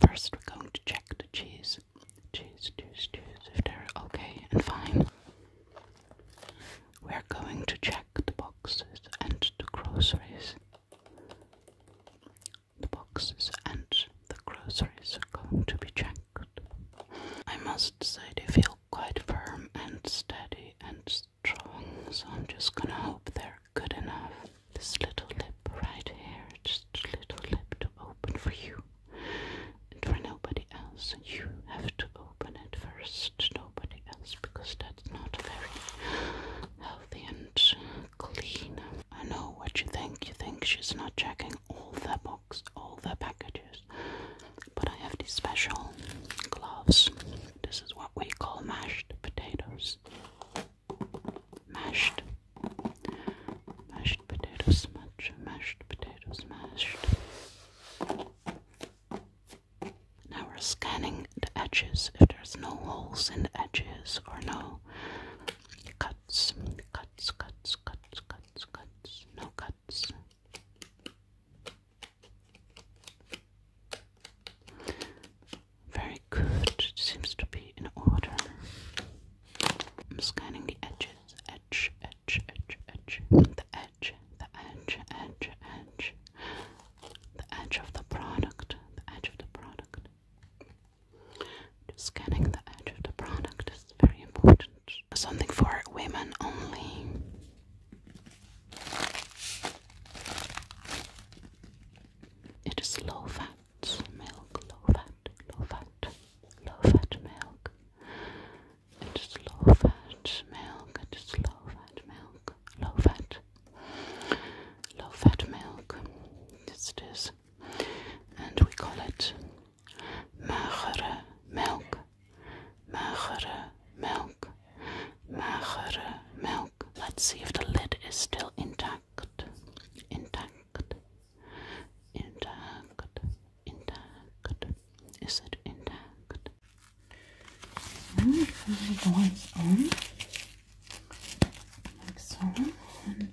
First, we're going to check the cheese. Cheese, cheese, cheese, if they're okay and fine. We're going to check the boxes and the groceries. The boxes and the groceries are going to be checked. I must say they feel quite firm and steady and strong, so I'm just gonna hope they're good enough. This little lip right here, just a little lip to open for you and for nobody else. And you have to open it first, nobody else, because that's not very healthy and clean. I know what you think. You think she's not checking all the box, all the packages. But I have these special gloves. This is what we call mashed potatoes mashed, mashed potato smudge, mashed potato smashed. Now we're scanning the edges. If there's no holes in the edges or no cuts, cuts, cuts, cuts, cuts, cuts, no cuts. Very good. It seems to be in order. I'm scanning the edges. Edge, edge, edge, edge. The edge, the edge, edge, edge. The edge of the product. The edge of the product. Just scanning the edge of the product is very important. Something for women only. It is low fat milk, low fat, low fat, low fat milk. It is low fat milk, it is low fat milk, low fat, low fat milk. Yes, it is. And we call it magere milk, magere milk, magere milk. Let's see if the lid is still intact intact, intact, intact, intact. Is it intact? Mm-hmm. And the ones on, like so, and.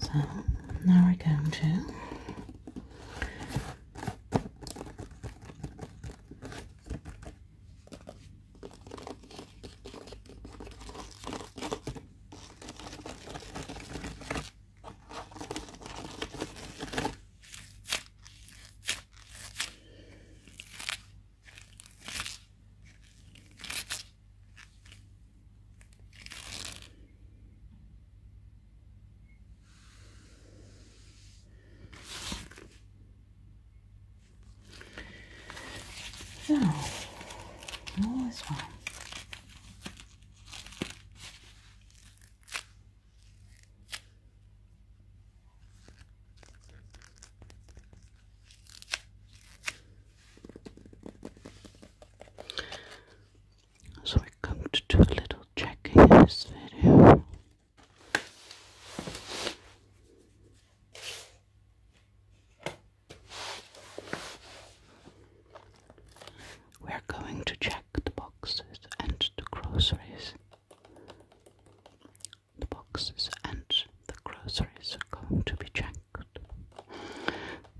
So now we're going to now, all is so I going to do a little checking in this video. We're going to check the boxes and the groceries. The boxes and the groceries are going to be checked.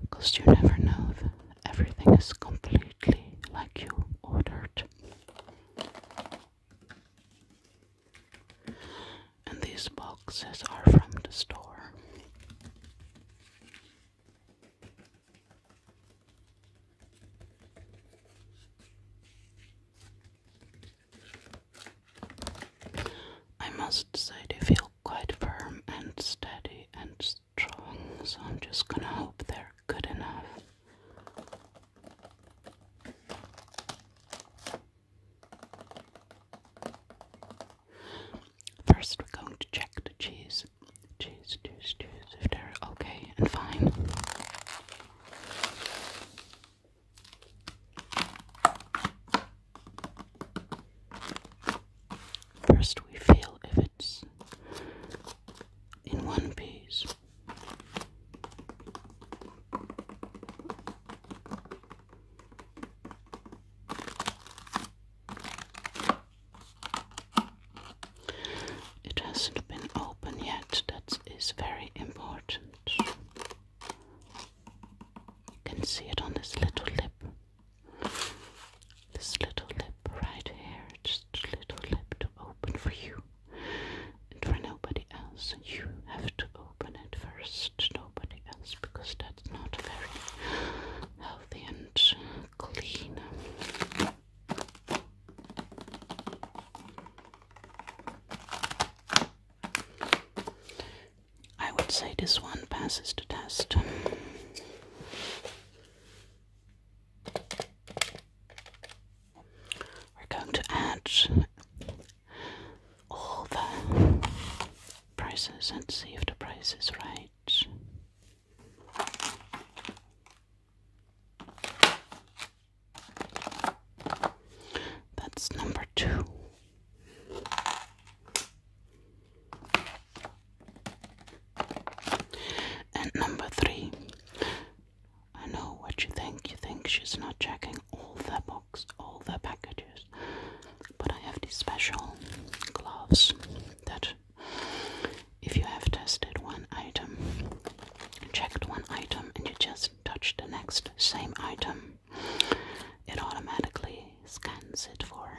Because you never know if everything is completely like you ordered. And these boxes are from the store. I must say they feel quite firm and steady and strong, so I'm just gonna hope they're good enough. First, we're going to check the cheese. Cheese, cheese, cheese, if they're okay and fine. First, we feel if it's in one piece. It hasn't been open yet, that is very important. You can see it on this little lip. This little lip right here, just a little lip to open for you and for nobody else. You have to open it first nobody else because that's not very healthy and clean. I would say this one passes the test. We're going to add all the prices and see if the price is right. That's number two. And number three. I know what you think. You think she's not checking all the boxes all the packages. But I have these special gloves that, if you have tested one item, checked one item, and you just touch the next same item, it automatically scans it for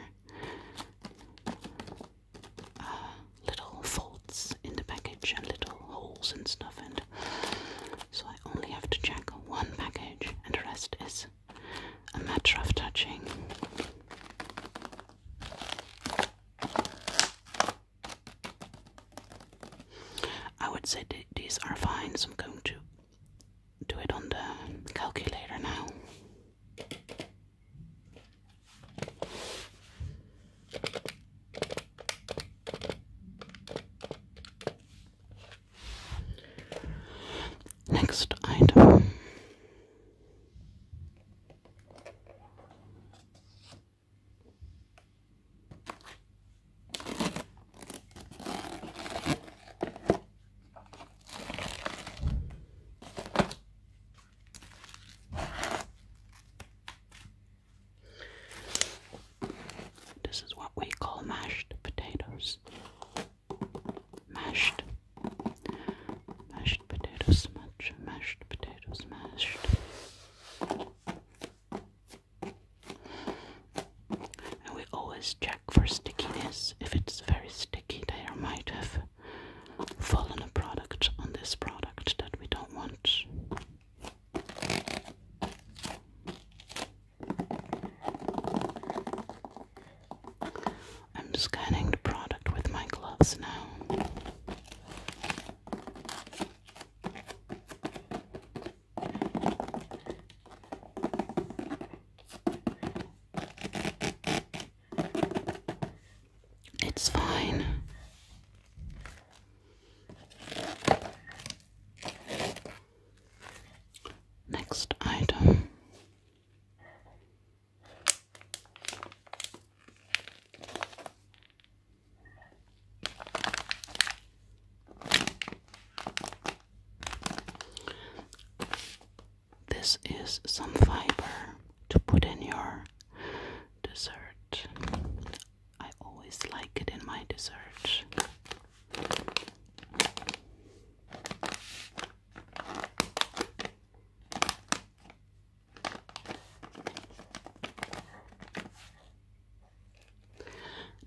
uh, little faults in the package and little holes and stuff. And so I only have to check one package, and the rest is a matter touching. I would say these are fine, so I'm going to do it on the calculator now. Next item. This is what we call mashed potatoes mashed, mashed potato smudge, mashed potato smashed. And we always check for stickiness. If it's very sticky, there might have fallen a product on this product that we don't want. I'm scanning the product with my gloves now. It's fine. Next item. This is some fiber to put in your dessert. I always like it in my dessert.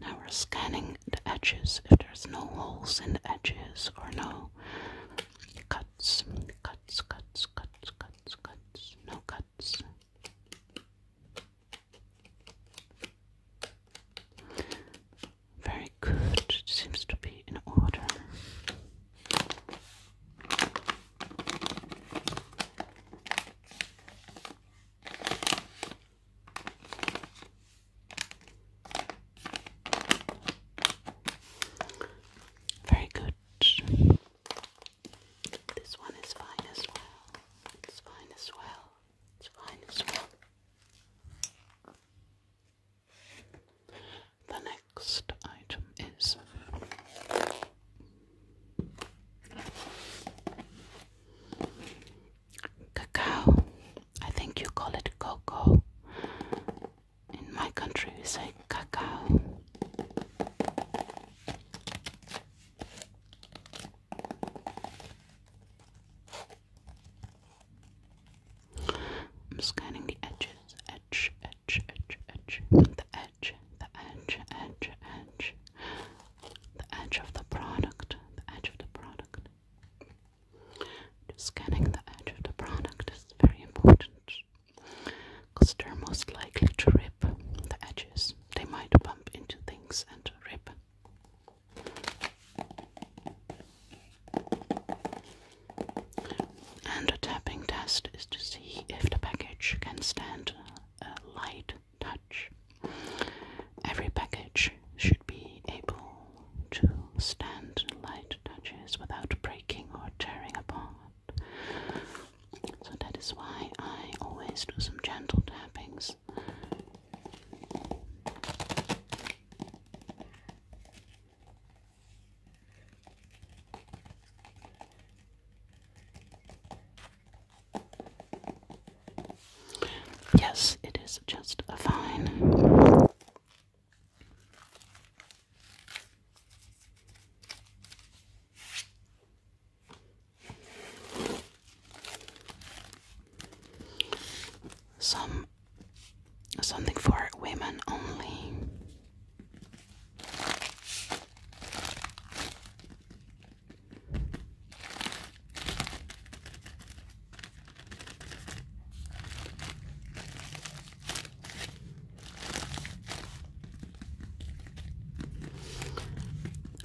Now we're scanning the edges. If there's no holes in the edges or no cuts, cuts, cuts, cuts, cuts, cuts, no cuts. Very good. It seems to be in order. Very good. This one is fine as well. It's fine as well. It's fine as The next item is cacao. I think you call it cocoa. In my country, we say cacao. I'm scanning the edges, edge, edge, edge, edge, the edge, the edge, edge, edge, the edge of the product, the edge of the product. Just scanning the edge of the product is very important because they're most likely to rip the edges. They might bump into things and rip. And a tapping test is to see if the package can stand a light touch. Every package should be able to stand light touches without breaking or tearing apart. So that is why I always do some gentle tappings Yes, it is just a fine. Some something for women only.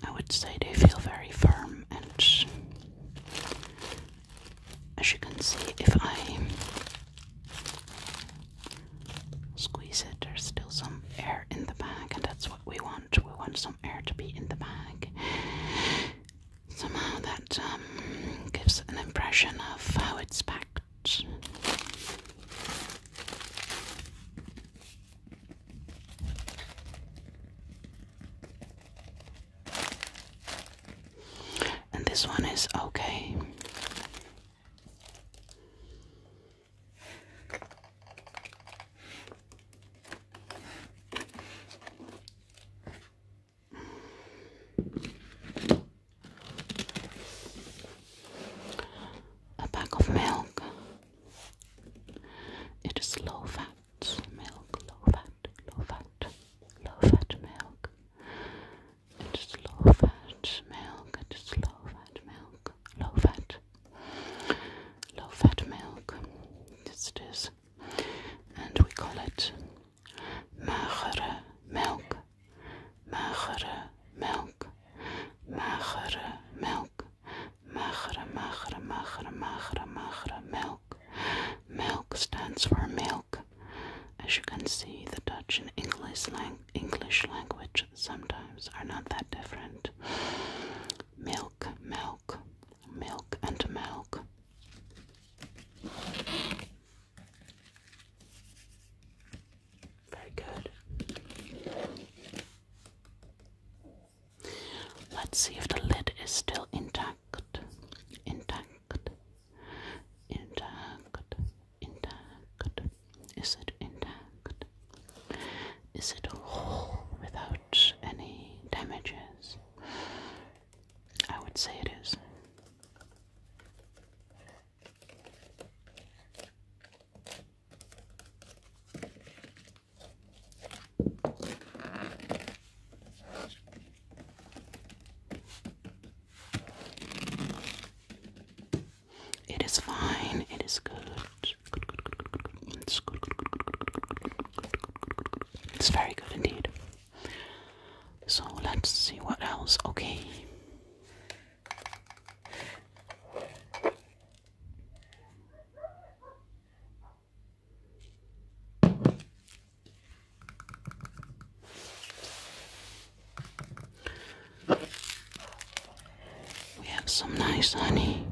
I would say they feel very firm and as you can see, if I squeeze it, there's still some air in the bag, and that's what we want. We want some air to be in the bag. Somehow that um, gives an impression of how it's packed. And this one is okay. A pack of milk. It is low fat milk, low fat, low fat, low fat milk. It's low fat milk, it's low fat milk, low fat, low fat milk. Yes, it is. And we call it magere milk, magere milk, magere milk. Magere, magere, magere, magere, magere, milk. Milk stands for milk. As you can see, the Dutch and English, lang English language sometimes are not that different. Milk, milk, milk, and milk. Very good. Let's see if the lid is still intact. Intact. Intact. Intact. Is it intact? Is it whole without any damages? I would say it is. It is fine. It is good. It's very good indeed. So let's see what else. Okay. We have some nice honey.